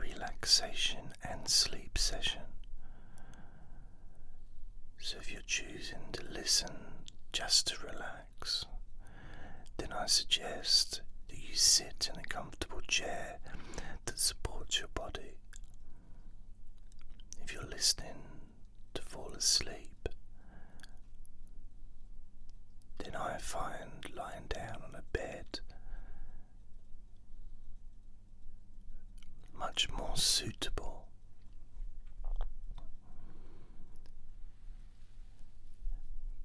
relaxation and sleep session. So, if you're choosing to listen just to relax, then I suggest that you sit in a comfortable chair that supports your body. If you're listening to fall asleep, then I find lying down on a bed much more suitable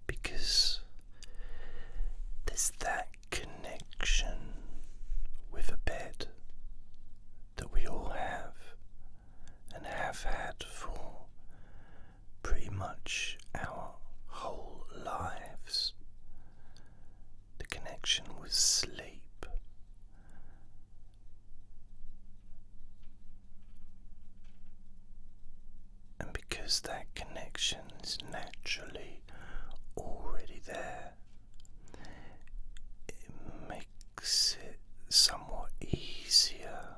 because there's that connection with a bed that we all have and have had for pretty much our whole lives. The connection with sleep. And because that connection is naturally already there, it makes it somewhat easier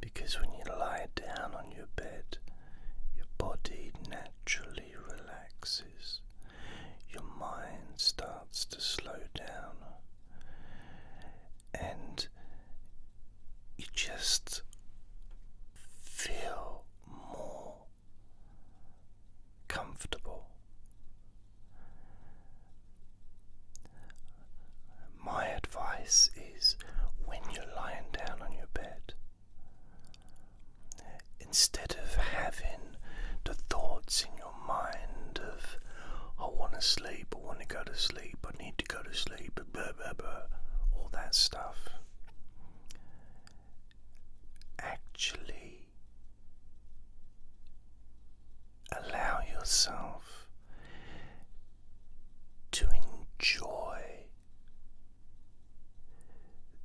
because when you lie down on your bed, your body naturally relaxes, your mind starts to slow down, and you just feel more comfortable. My advice is when you're lying down on your bed, instead of having the thoughts in your mind of, I want to sleep, I want to go to sleep, I need to go to sleep, blah, all that stuff, actually allow yourself to enjoy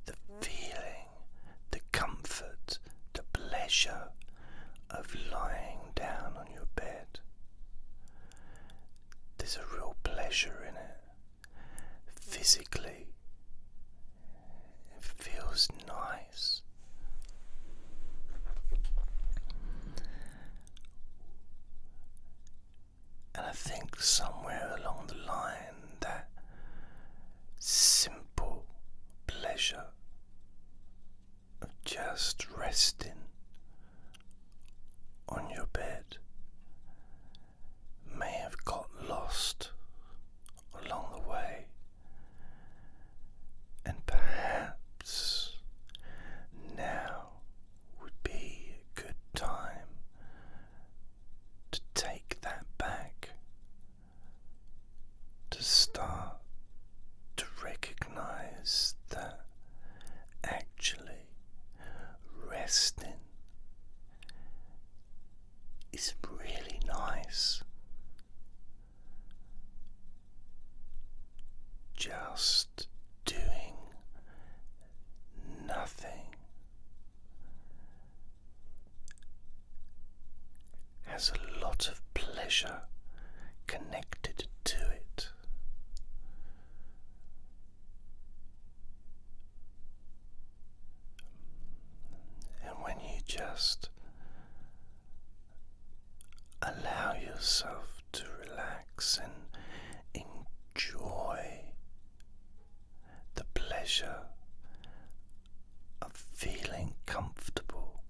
the feeling, the comfort, the pleasure of lying down on your bed. There's a real pleasure in it. Physically, it feels nice. And I think somewhere along the line that simple pleasure of just resting on your bed may have got lost along the way, and perhaps now would be a good time to take that back, to start to recognize that actually resting is really nice just doing nothing has a lot of pleasure connected to it. And when you just Allow yourself to relax and enjoy the pleasure of feeling comfortable.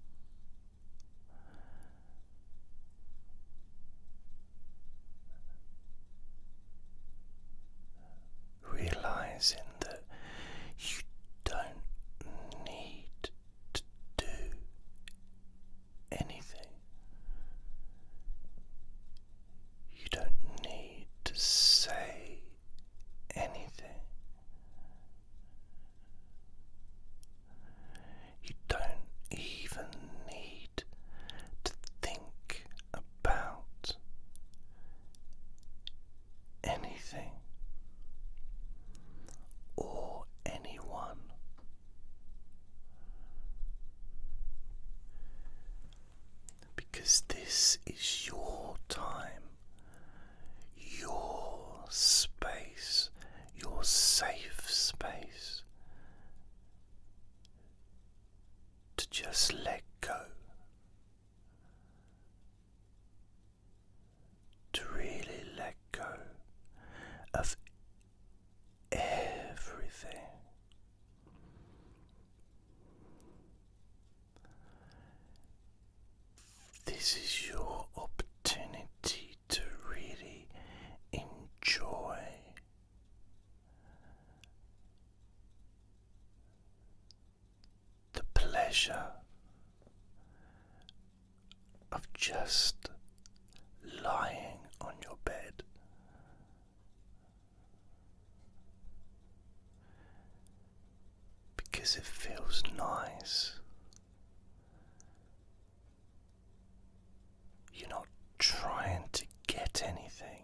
Realizing that you don't need to do anything. You don't need to say anything. You don't even need to think about anything or anyone. Because this is your time, your space, your safe space to just let go to really let go of everything. This is your opportunity to really enjoy the pleasure of just lying on your bed. Because it feels nice. You're not trying to get anything,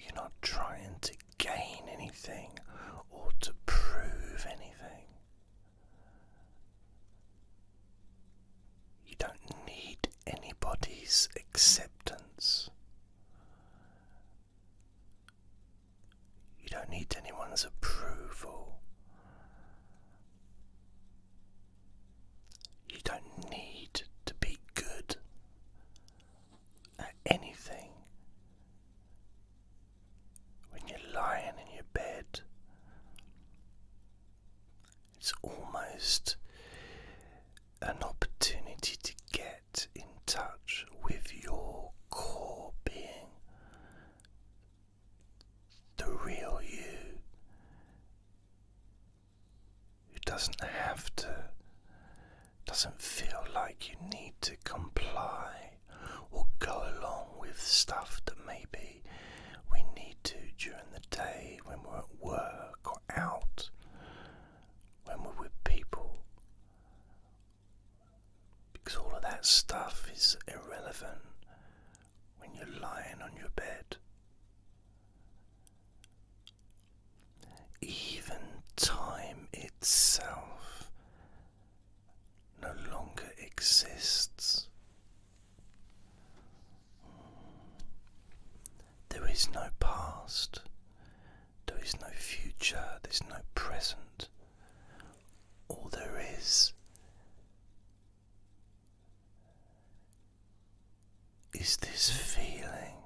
you're not trying to gain anything or to prove anything. You don't need anybody's acceptance. You don't need anyone's approval. You don't need to be good at anything. When you're lying in your bed, it's almost an opportunity to get in touch with your core being, the real you, who doesn't have to, doesn't feel like you need to comply or go along with stuff that may be we need to during the day when we're at work or out, when we're with people. Because all of that stuff is irrelevant when you're lying on your bed. Even time itself no longer exists. There is no past, there is no future, there's no present. All there is is this feeling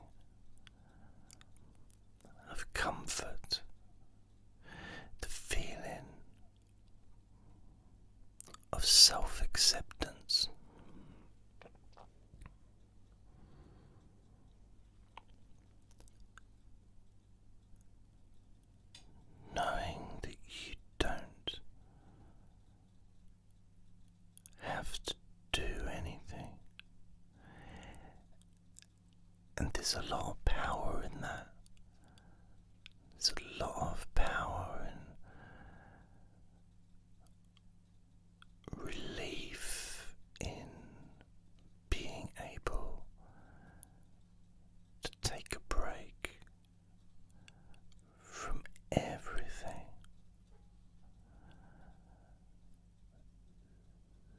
of comfort, the feeling of self acceptance. Knowing that you don't have to do anything, and there's a lot of power in that. There's a lot of power and relief in being able to take a break from everything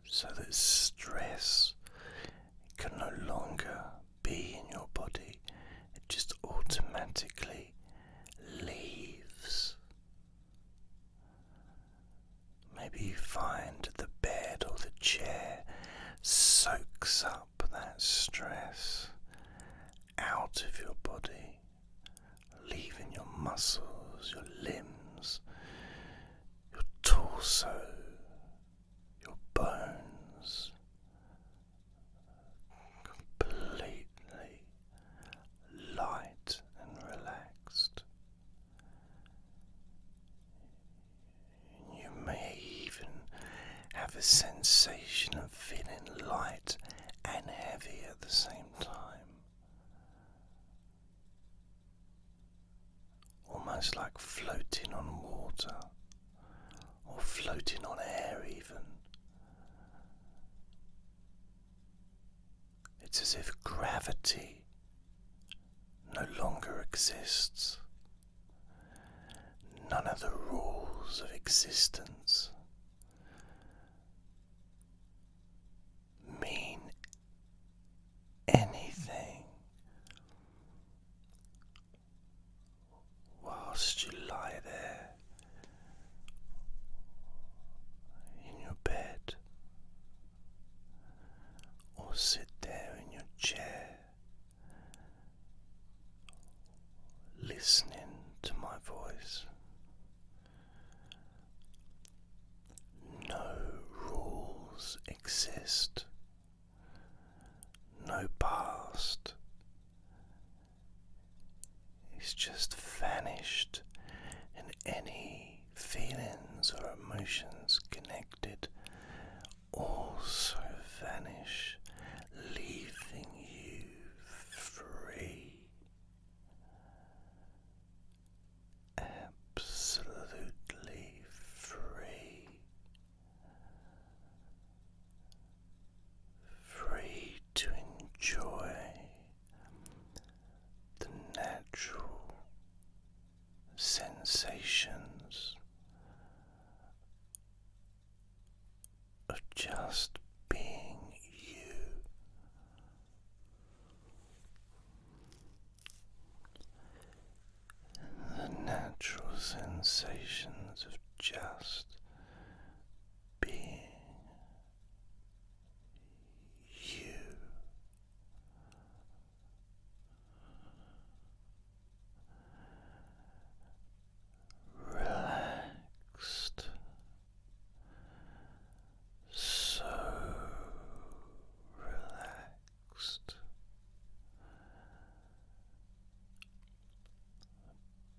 so that stress can no longer be in your body, it just automatically leaves. Maybe you find the bed or the chair soaks up that stress out of your body, leaving your muscles, your limbs, your torso, your bones completely light and relaxed. You may even have a sensation of feeling light and heavy at the same time almost like floating on water or floating on air, even. It's as if gravity no longer exists. None of the rules of existence mean anything whilst you lie there in your bed or sit there in your chair listening to my voice. No rules exist no past. It's just vanished, and any feelings or emotions connected also vanish, leaving you free. Absolutely free free to enjoy the natural sensations of just being you the natural sensations of just being you. Relaxed, so relaxed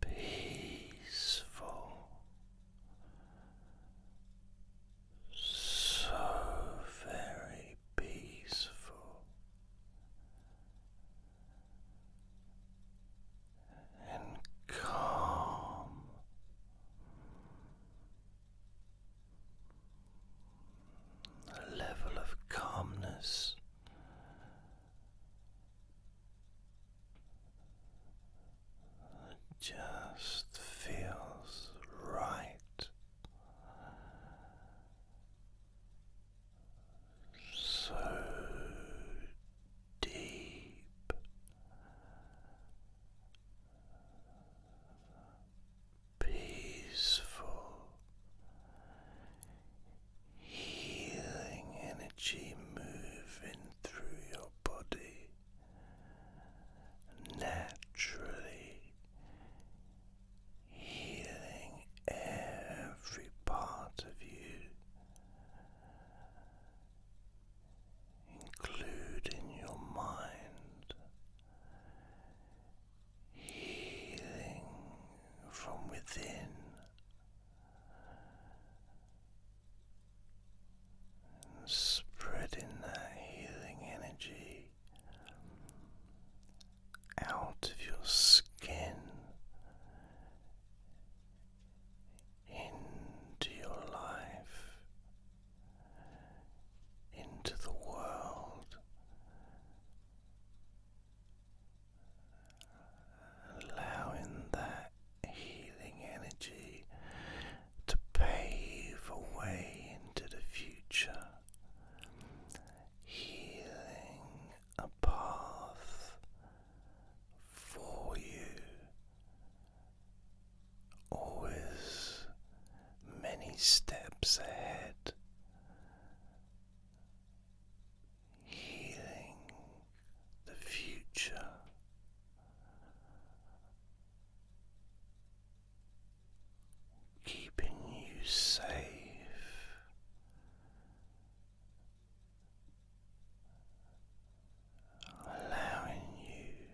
peaceful, so very peaceful. And calm, a level of calmness. It just feels right, so deep, peaceful healing energy moving through your body naturally healing every part of you including your mind healing from within. spreading that healing energy out of your skin into your life, into the world allowing that healing energy to pave a way into the future healing a path for you always many steps ahead, healing the future. Keeping you safe allowing you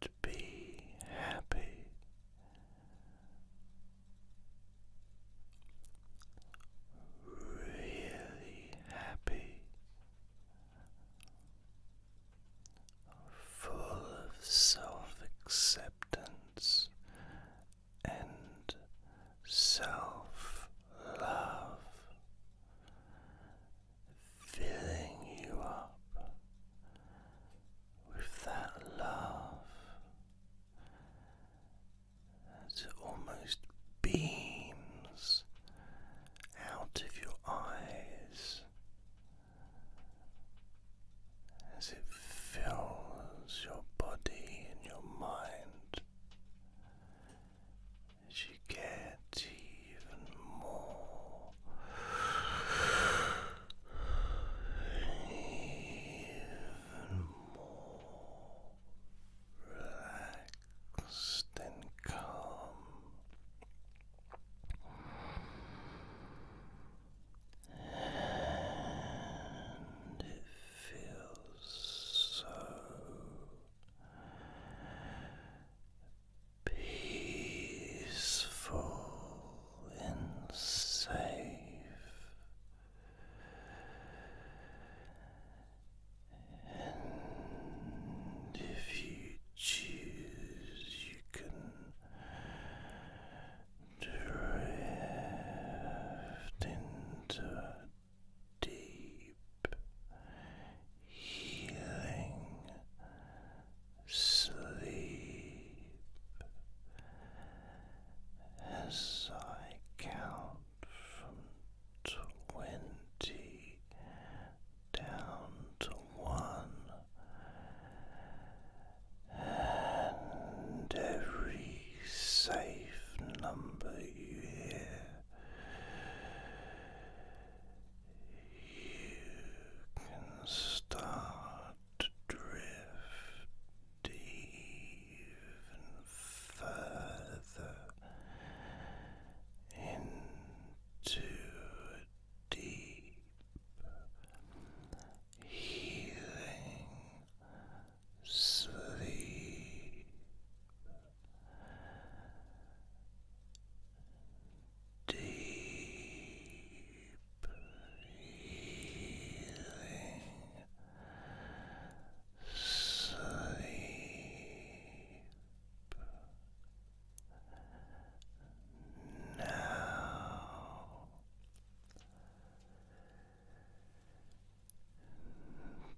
to be happy. Really happy, full of self acceptance and self love, filling you up, with that love that almost beams out of your eyes as it fills your body and your mind as you get even more even more relaxed and calm. And it feels so peaceful and safe. And if you choose, you can drift into deep healing sleep as I count from twenty down to one, and every safe number you hear. You can start to drift even further into deep healing sleep deep healing sleep now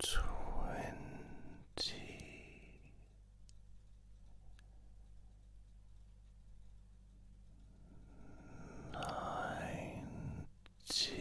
twenty nineteen eighteen Seventeen